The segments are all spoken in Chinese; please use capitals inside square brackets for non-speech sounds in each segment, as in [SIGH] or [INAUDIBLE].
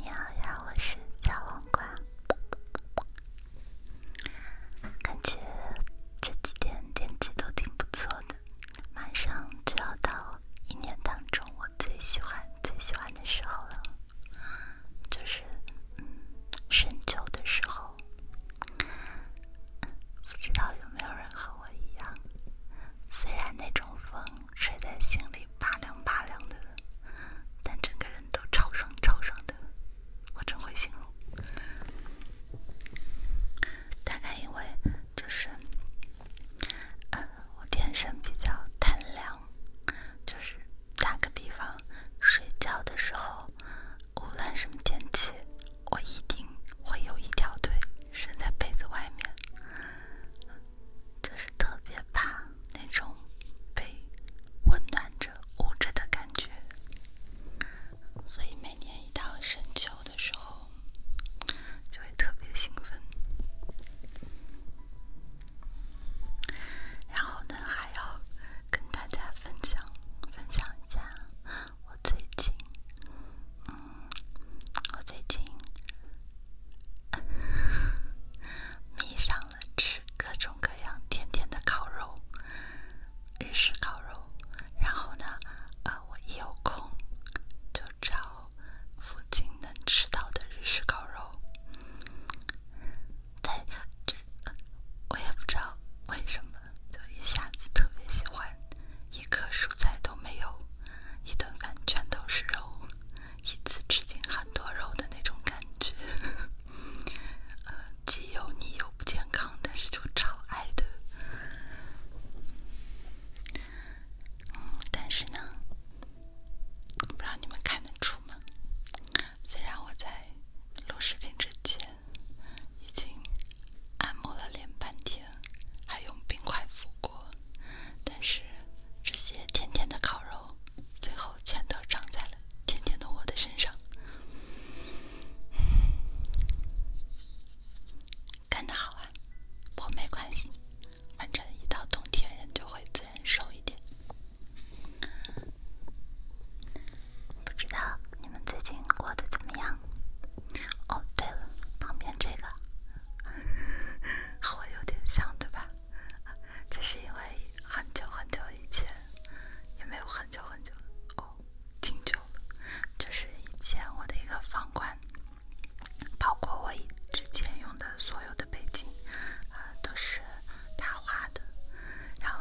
你好呀，我是小黄瓜。感觉这几天天气都挺不错的，马上就要到一年当中我最喜欢、最喜欢的时候了，就是深秋的时候。不知道有。没有人和我一样，虽然那种风吹在心里拔凉拔凉的，但整个人都超爽超爽的。我真会形容。大概因为就是，呃，我天生比较贪凉，就是打个比方，睡觉的时候，无论什么天气。我一定会有一条腿伸在被子外面，就是特别怕那种被温暖着、捂着的感觉。所以每年一到深秋的时候，就会特别兴奋。然后呢，还要跟大家分享分享一下。我最近，嗯，我最近迷上了吃各种各样甜甜的烤肉，日式烤肉。然后呢，啊，我一有空就找附近能吃到的日式烤肉。对，这我也不知道为什么。就一下子特别喜欢，一颗蔬菜都没有，一顿饭全都是肉，一次吃进很多肉的那种感觉，[LAUGHS] 既油腻又不健康，但是就超爱的。但是呢，不知道你们看得出吗？虽然我在录视频之前已经按摩了脸半天。还用冰块敷过，但是这些甜甜的烤肉，最后全都长在了甜甜的我的身上。干得好啊！我没关系，反正一到冬天人就会自然瘦一点。不知道你们最近过得怎么样？哦，对了，旁边这个和我有点像，对吧？这是因为很久很久以前，也没有很久很久，哦，挺久了。就是以前我的一个房管，包括我之前用的所有的背景，都是他画的。然后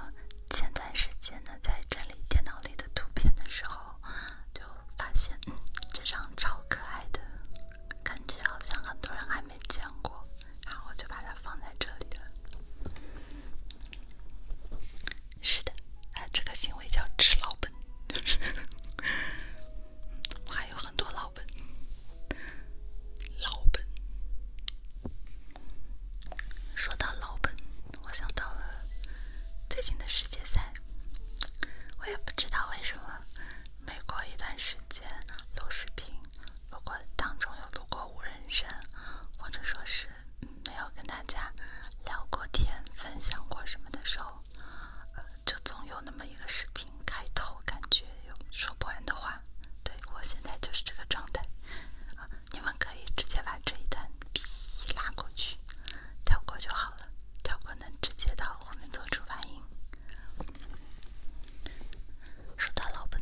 前段时间呢，在整理电脑里的图片的时候，就。发现这张超可爱的，感觉好像很多人还没见过，然后我就把它放在这里了。是的，哎，这个行为叫吃老本，就 [LAUGHS] 是我还有很多老本。老本，说到老本，我想到了最近的世界赛。我也不知道为什么，每过一段时间录视频，如果当中有录过无人声，或者说是没有跟大家聊过天、分享过什么的时候，就总有那么一个视频开头，感觉有说不完的话。对我现在就是这个状态，啊，你们可以直接把这一段皮拉过去。跳过就好了，跳过能直接到后面做出反应。说到老本，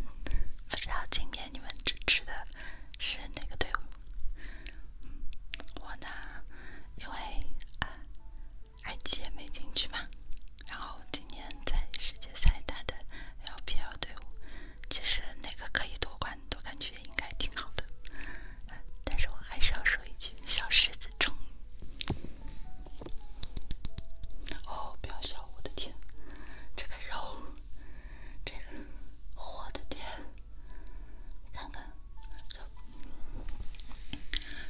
不知道今天你们支持的是哪个队伍？我呢，因为啊，i g 也没进去嘛，然后今年在世界赛打的 l p l 队伍，其实那个可以夺冠，都感觉应该挺好的。但是我还是要说一句，小狮子冲！哦，不要笑，我的天，这个肉，这个，我的天，看看，就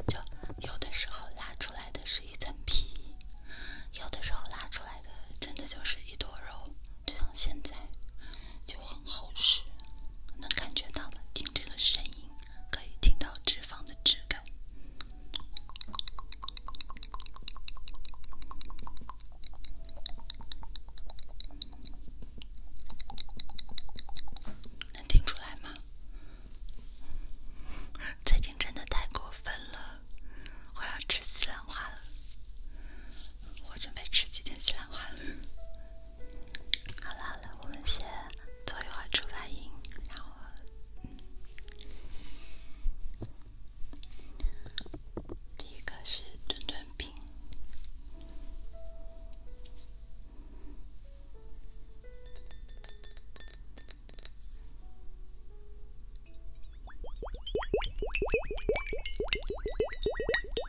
就有的时候拉出来的是一层皮，有的时候拉出来的真的就是一坨肉，就像现在。就很厚实，能感觉到吗？听这个声音，可以听到脂肪的质感，能听出来吗？最近真的太过分了，我要吃西兰花了，我准备吃几天西兰花了。好啦，我们先做一会儿助发音，然后第一个是吞吞音。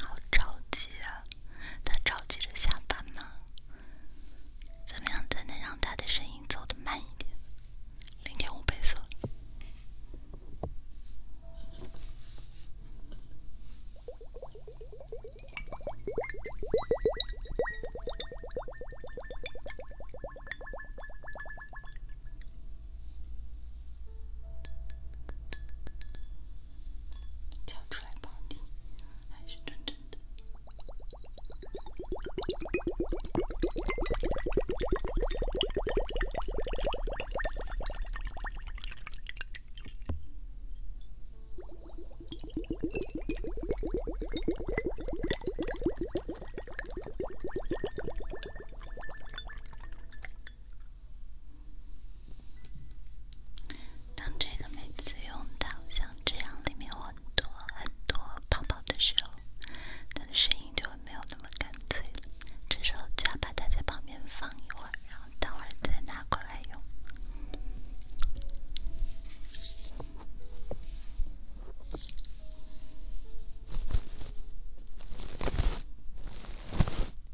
好着急啊！他着急着下班吗？怎么样才能让他的声音走的慢一点？零点五倍速。叫出来吧，还是真正的。当这个每次用到像这样里面有很多很多泡泡的时候，它的声音就会没有那么干脆。这时候就要把它在旁边放一会儿，然后等会儿再拿过来用。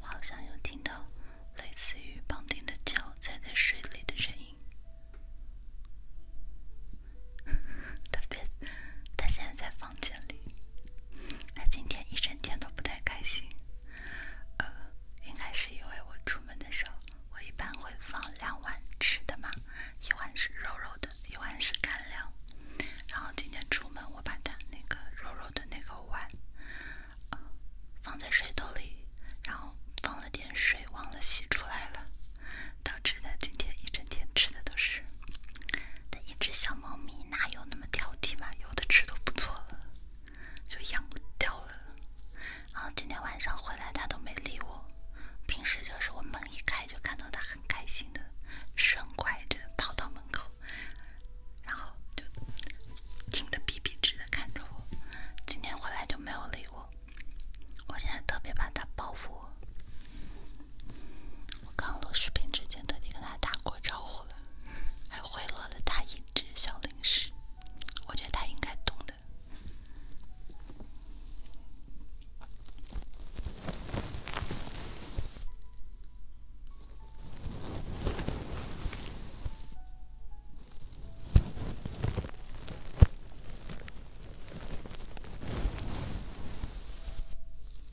我好像有听到类似于胖丁的脚踩在水里的声音，特 [LAUGHS] 别他现在在房间里，他今天一整天都不太开心。呃，应该是因为我出门的时候，我一般会放两碗吃的嘛，一碗是肉肉的，一碗是干粮。然后今天出门，我把它那个肉肉的那个碗，呃放在水桶里，然后放了点水，忘了洗出来了，导致的今天一整天吃的都是。它一只小猫咪，哪有那么……挑剔嘛，有的吃都不错了，就养不掉了。然后今天晚上回来，它都没理我。平时就是我门一开，就看到它很开心的，生拐着跑到门口，然后就挺的笔笔直的看着我。今天回来就没有理我，我现在特别怕它报复我。我刚录视频之前，特地跟它打过招呼了。还贿赂了他一只小零食，我觉得他应该懂的。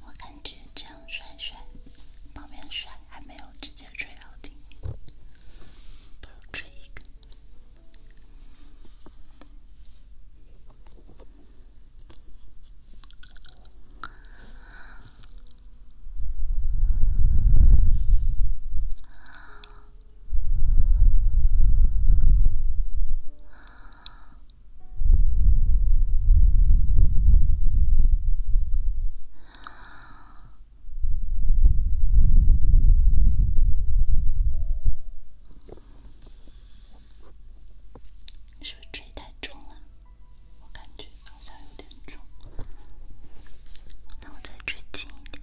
我感觉这样甩甩，旁边甩还没有直接吹到顶，不吹一根。是不是吹太重了？我感觉好像有点重，那我再吹近一点。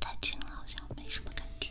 太近了，好像没什么感觉。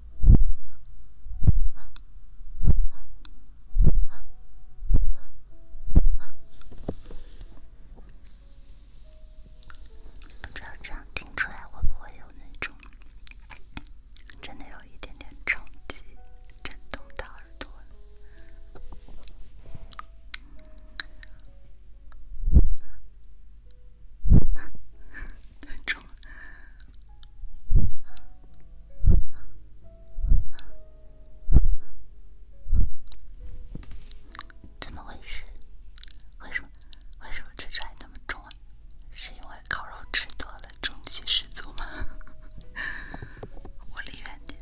不知道这样听出来会不会有那种，真的有一点点冲击，震动到耳朵，太重了。怎么回事？为什么为什么吃出来那么重？啊？是因为烤肉吃多了，重气十足吗？我离远点。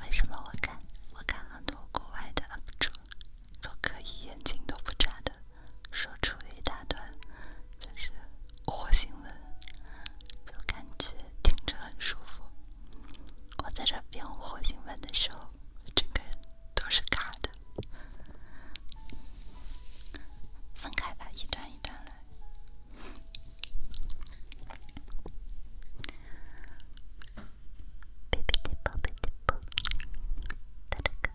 为什么我看？我看很多国外的 UP 主都可以眼睛都不眨的。说出一大段就是火星文，就感觉听着很舒服。我在这编火星文的时候，整个人都是卡的。分开吧，一段一段来。别别别别别别别别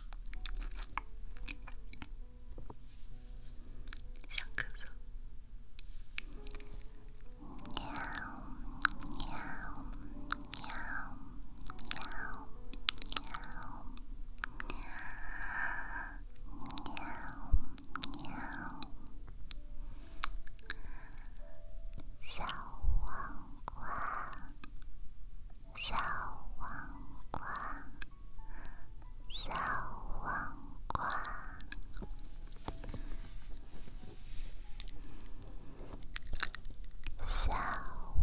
想咳嗽。小王。小黄瓜，小黄瓜，小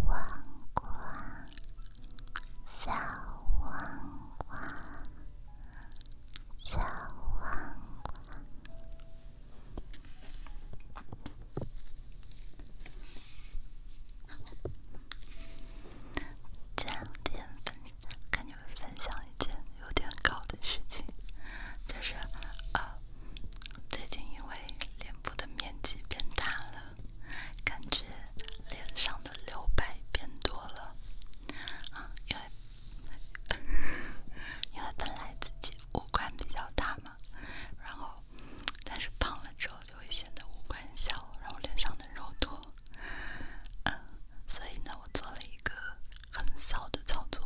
黄瓜，小黄瓜。今天跟你们分享一件有点搞的事情，就是呃，最近因为脸部的面积变大了，感觉脸上的留白变多了因为 [LAUGHS] 因为本来自己五官比较大嘛，然后。但是胖了之后就会显得五官小，然后脸上的肉多，嗯，所以呢，我做了一个很骚的操作，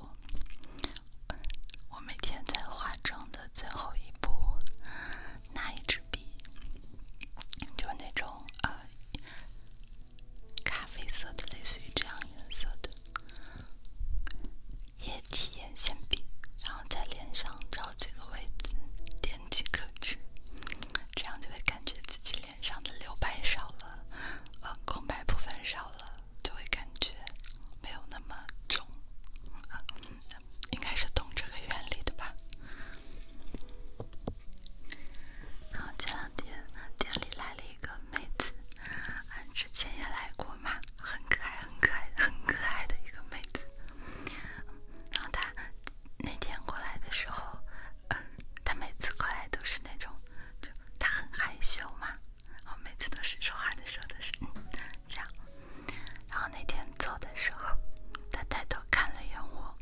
我每天在化妆的最后一步，拿一支笔，就是那种呃咖啡色的，类似于这样颜色的。液体眼线笔，然后在脸上找几个位置点几颗痣，这样就会感觉自己脸上的留白少了，呃，空白部分少了，就会感觉没有那么肿。啊，应该是懂这个原理的吧。然后前两天店里来了一个妹子，啊，之前也来过嘛。很可爱，很可爱的，很可爱的一个妹子。然后她那天过来的时候，嗯，她每次过来都是那种，就她很害羞嘛，然后每次都是说话的时候都是这样。然后那天走的时候，她抬头看了眼我，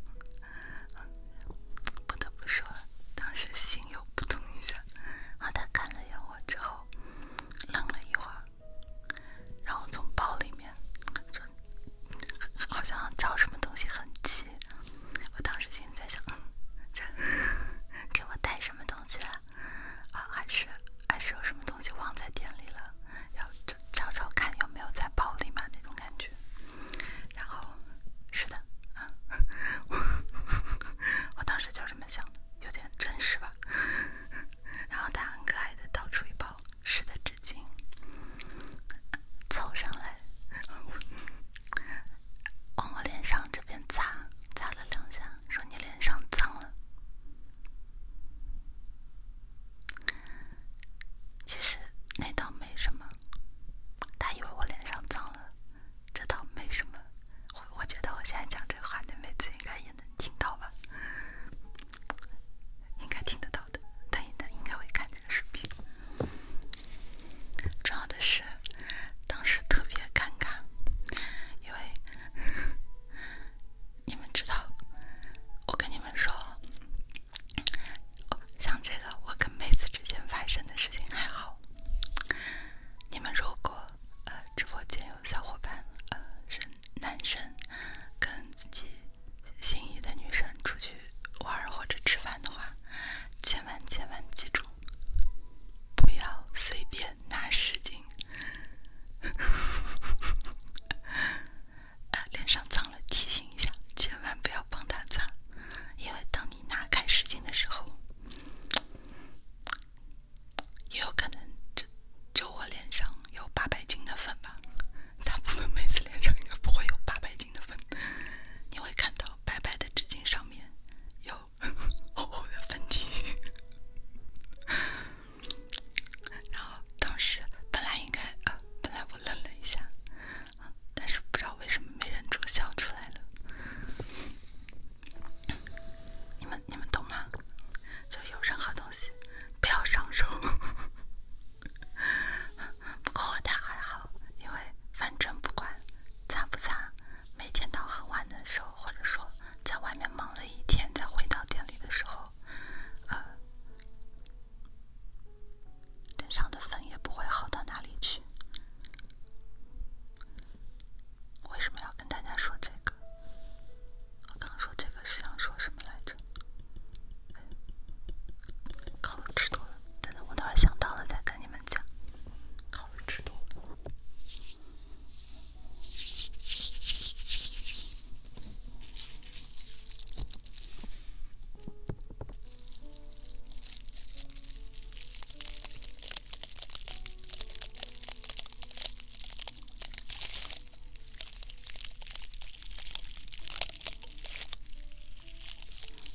不得不说，当时心又扑通一下。然后她看了眼我之后，愣了一会儿。然后从包里面，就好像找什么东西很急。我当时心里在想，这给我带什么东西了？啊，还是还是有什么东西忘在店里了？要找找看有没有在包里面那种感觉。然后，是的，[LAUGHS] 我当时就这么想的，有点真实吧。然后他很可爱的掏出一包湿的纸巾，凑上来，往我脸上这边擦，擦了两下，说你脸上脏了。其实那倒没什么，他以为我脸上脏了，这倒没什么。我我觉得我现在讲这个话，那妹子应该也能听到吧？应该听得到的，等一等应该会看这个视频。重要的是，当时特别尴尬，因为你们知道，我跟你们说，像这个我跟妹子之间发生的事情还好。你们如果呃直播间小伙伴，呃，是男生跟自己心仪的女生出去玩或者吃饭的话，千万千万记住，不要随便拿湿巾。[LAUGHS] 呃，脸上脏了提醒一下，千万不要帮他擦，因为当你拿开湿巾的时候。也有可能，就就我脸上有八百斤的粉吧，大部分妹子脸上应该不会有八百斤的粉。你会看到白白的纸巾上面有 [LAUGHS] 厚厚的粉底，然后当时本来应该，本来我愣了一下，但是不知道为什么没忍住笑出来了。你们你们懂吗？就有任何东西不要上手。[LAUGHS] 不过他还好，因为反正不管擦不擦，每天到很晚的时候，或者说在外面忙了一天再回到店里的时候，呃，脸上的粉也不会好到哪里去。为什么要跟大家说这个？我刚说这个是想说什么来着？烤鱼吃多了，等等，我等会想到了再跟你们讲。烤鱼吃多了。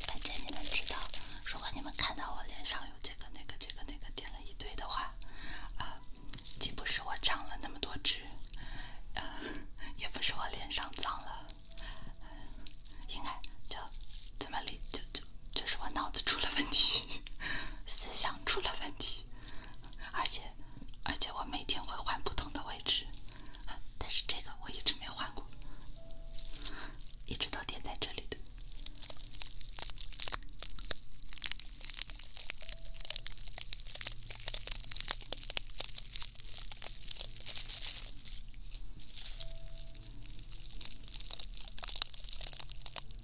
反正你们知道，如果你们看到我脸上有这个、那个、这个、那个，点了一堆的话，啊，既不是我长了那么多痣，[LAUGHS] 呃，也不是我脸上脏了，应该就这么理就。就是我脑子出了问题，[LAUGHS] 思想出了问题，而且而且我每天会换不同的位置，但是这个我一直没换过，一直都点在这里的。[LAUGHS]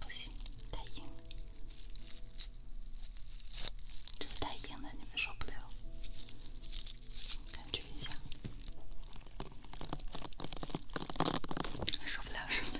不行，太硬，了。这个太硬了，你们受不了。感觉一下，受不了。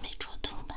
没戳痛吧？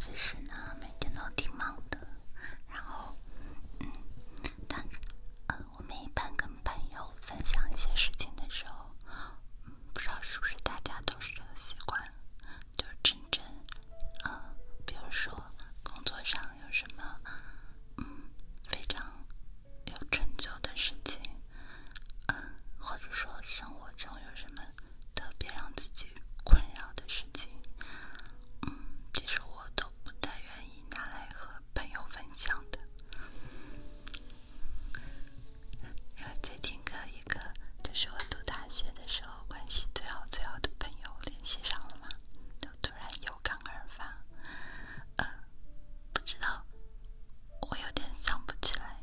其实呢，每天都挺忙的。然后，嗯，但，嗯，我们一般跟朋友分享一些事情的时候，嗯，不知道是不是大家都是这个习惯，就是真正，嗯，比如说工作上有什么，嗯，非常有成就的事情，嗯，或者说生活中有什么。特别让自己困扰的事情，嗯，其实我都不太愿意拿来和朋友分享的。因为最近个一个，就是我读大学的时候关系最好最好的朋友联系上了嘛，就突然有感而发。呃，不知道，我有点想不起来，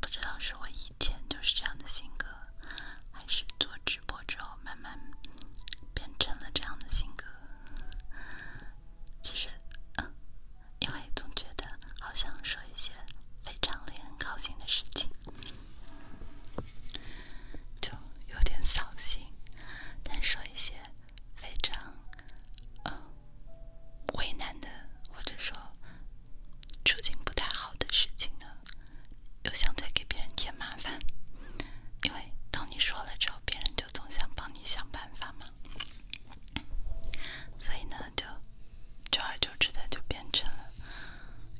不知道是我以前就是这样的性格。还是做直播之后，慢慢变成了这样的性格。其实，嗯，因为总觉得好像说一些非常令人高兴的事情，就有点扫兴；但说一些非常嗯，为难的，或者说处境不太好的事情呢？又想再给别人添麻烦，因为当你说了之后，别人就总想帮你想办法嘛。所以呢，就久而久之的就变成了，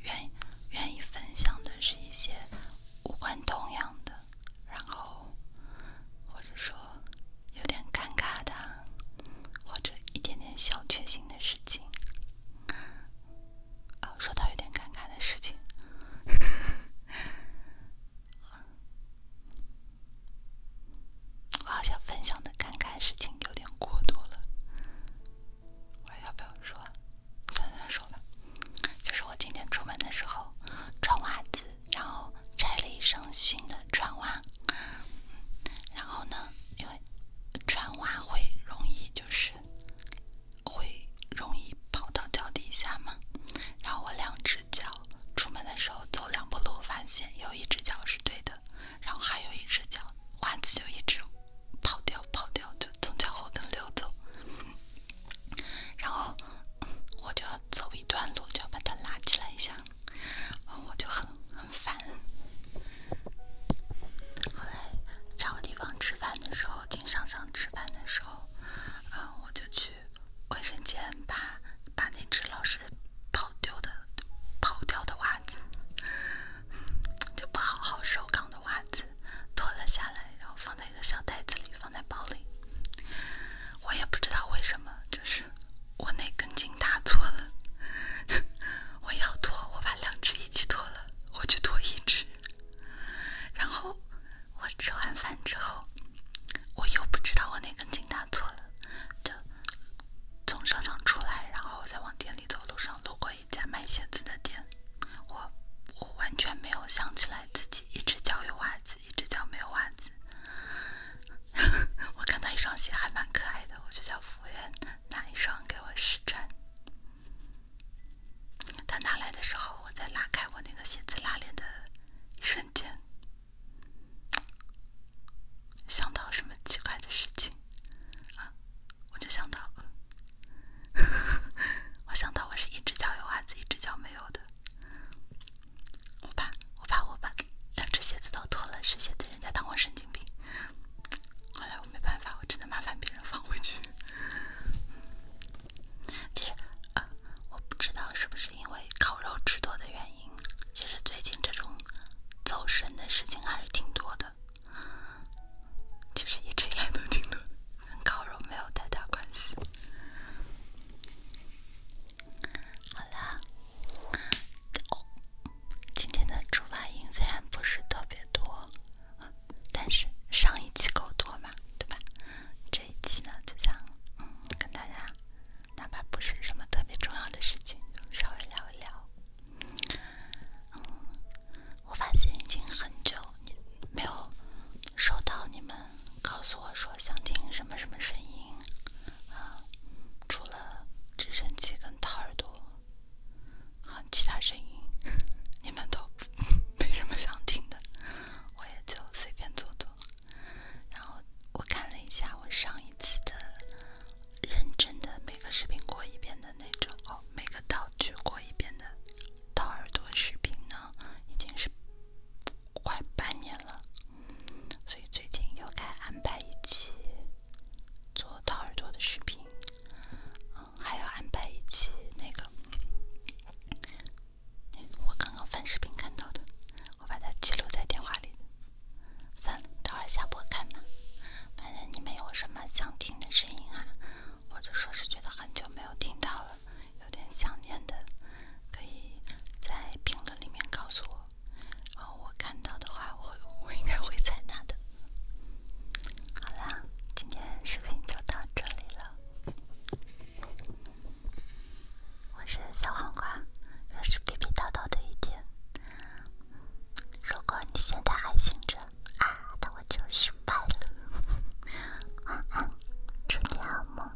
愿意愿意分享的是一些无关痛痒的，然后或者说有点尴尬的，或者一点点小确幸的事情。啊，说到有点尴尬的事情，[LAUGHS] 我好像分享的尴尬事情有点过多了，我要不要说？算算说吧，就是我今天出门的时候穿袜子，然后拆了一双新的船袜，然后呢，因为船袜会容易就是。会容易跑到脚底下吗？然后我两只脚出门的时候走两步路，发现有一只脚是对的，然后还有一只脚袜子就一直跑掉跑掉，就从脚后跟溜走。然后我就要走一段路，就要把它拉起来一下，我就很很烦。后来找个地方吃饭的时候，进商场吃饭的时候，嗯，我就去卫生间把把那只老是跑丢的跑掉的袜子，就不好好收刚的袜子脱了下来，然后放在一个小袋子里，放在包里。我也不知道为什么，就是我那根筋搭错了，[LAUGHS] 我要脱，我把两只一起脱了。我就脱一只，然后我吃完饭之后，我又不知道我哪根筋搭错了，就从商场出来，然后再往店里走，路上路过一家卖鞋子的店，我我完全没有想起来自己一只脚有袜子，一只脚没有袜子。[LAUGHS] 我看到一双鞋还蛮可爱的，我就叫服务员拿一双给我试穿。他拿来的时候，我在拉开我那个鞋子拉链的一瞬间，想到什么奇怪的事情啊？我就想到，[LAUGHS] 我想到我是一只脚有袜子，一只脚没有的。我怕，我怕我把两只鞋子都脱了，是鞋子，人家当我神经病。后来我没办法，我真的麻烦别人放回去。其实，呃，我不知道是不是因为烤肉吃多的原因，其实最近这种走神的事情还是挺多的。其实一直以来都挺多，跟烤肉没有太大关系。好啦。今天的出发音虽然不是特别多，但是上一期够多嘛，对吧？这一期呢就想嗯，跟大家，哪怕不是什么特别重要的事情，稍微聊一聊。嗯，我发现已经很久没有收到你们告诉我说想听什么什么声音啊，除了直升机跟掏耳朵。好，其他声音你们都没什么想听的，我也就随便做做。然后我看了一下我上一次的认真的每个视频过一遍的那种，哦，每个道具过一遍的掏耳朵视频呢，已经是快半年了，所以最近又该安排一期做掏耳朵的视频。嗯，还要安排一期那个，我刚刚翻视频看到的，我把它记录在电话里。算了，待会儿下播看吧。反正你们有什么想听的声音啊，或者说是觉得很久没有听到了，有点想念的，可以在评论里面告诉我。我看到的话，我会我应该会采纳的。好啦，今天视频就到这里了。我是小黄瓜，又是叨叨叨叨的一天。如果你现在还醒着啊，那我就失败了。晚安，祝你好梦。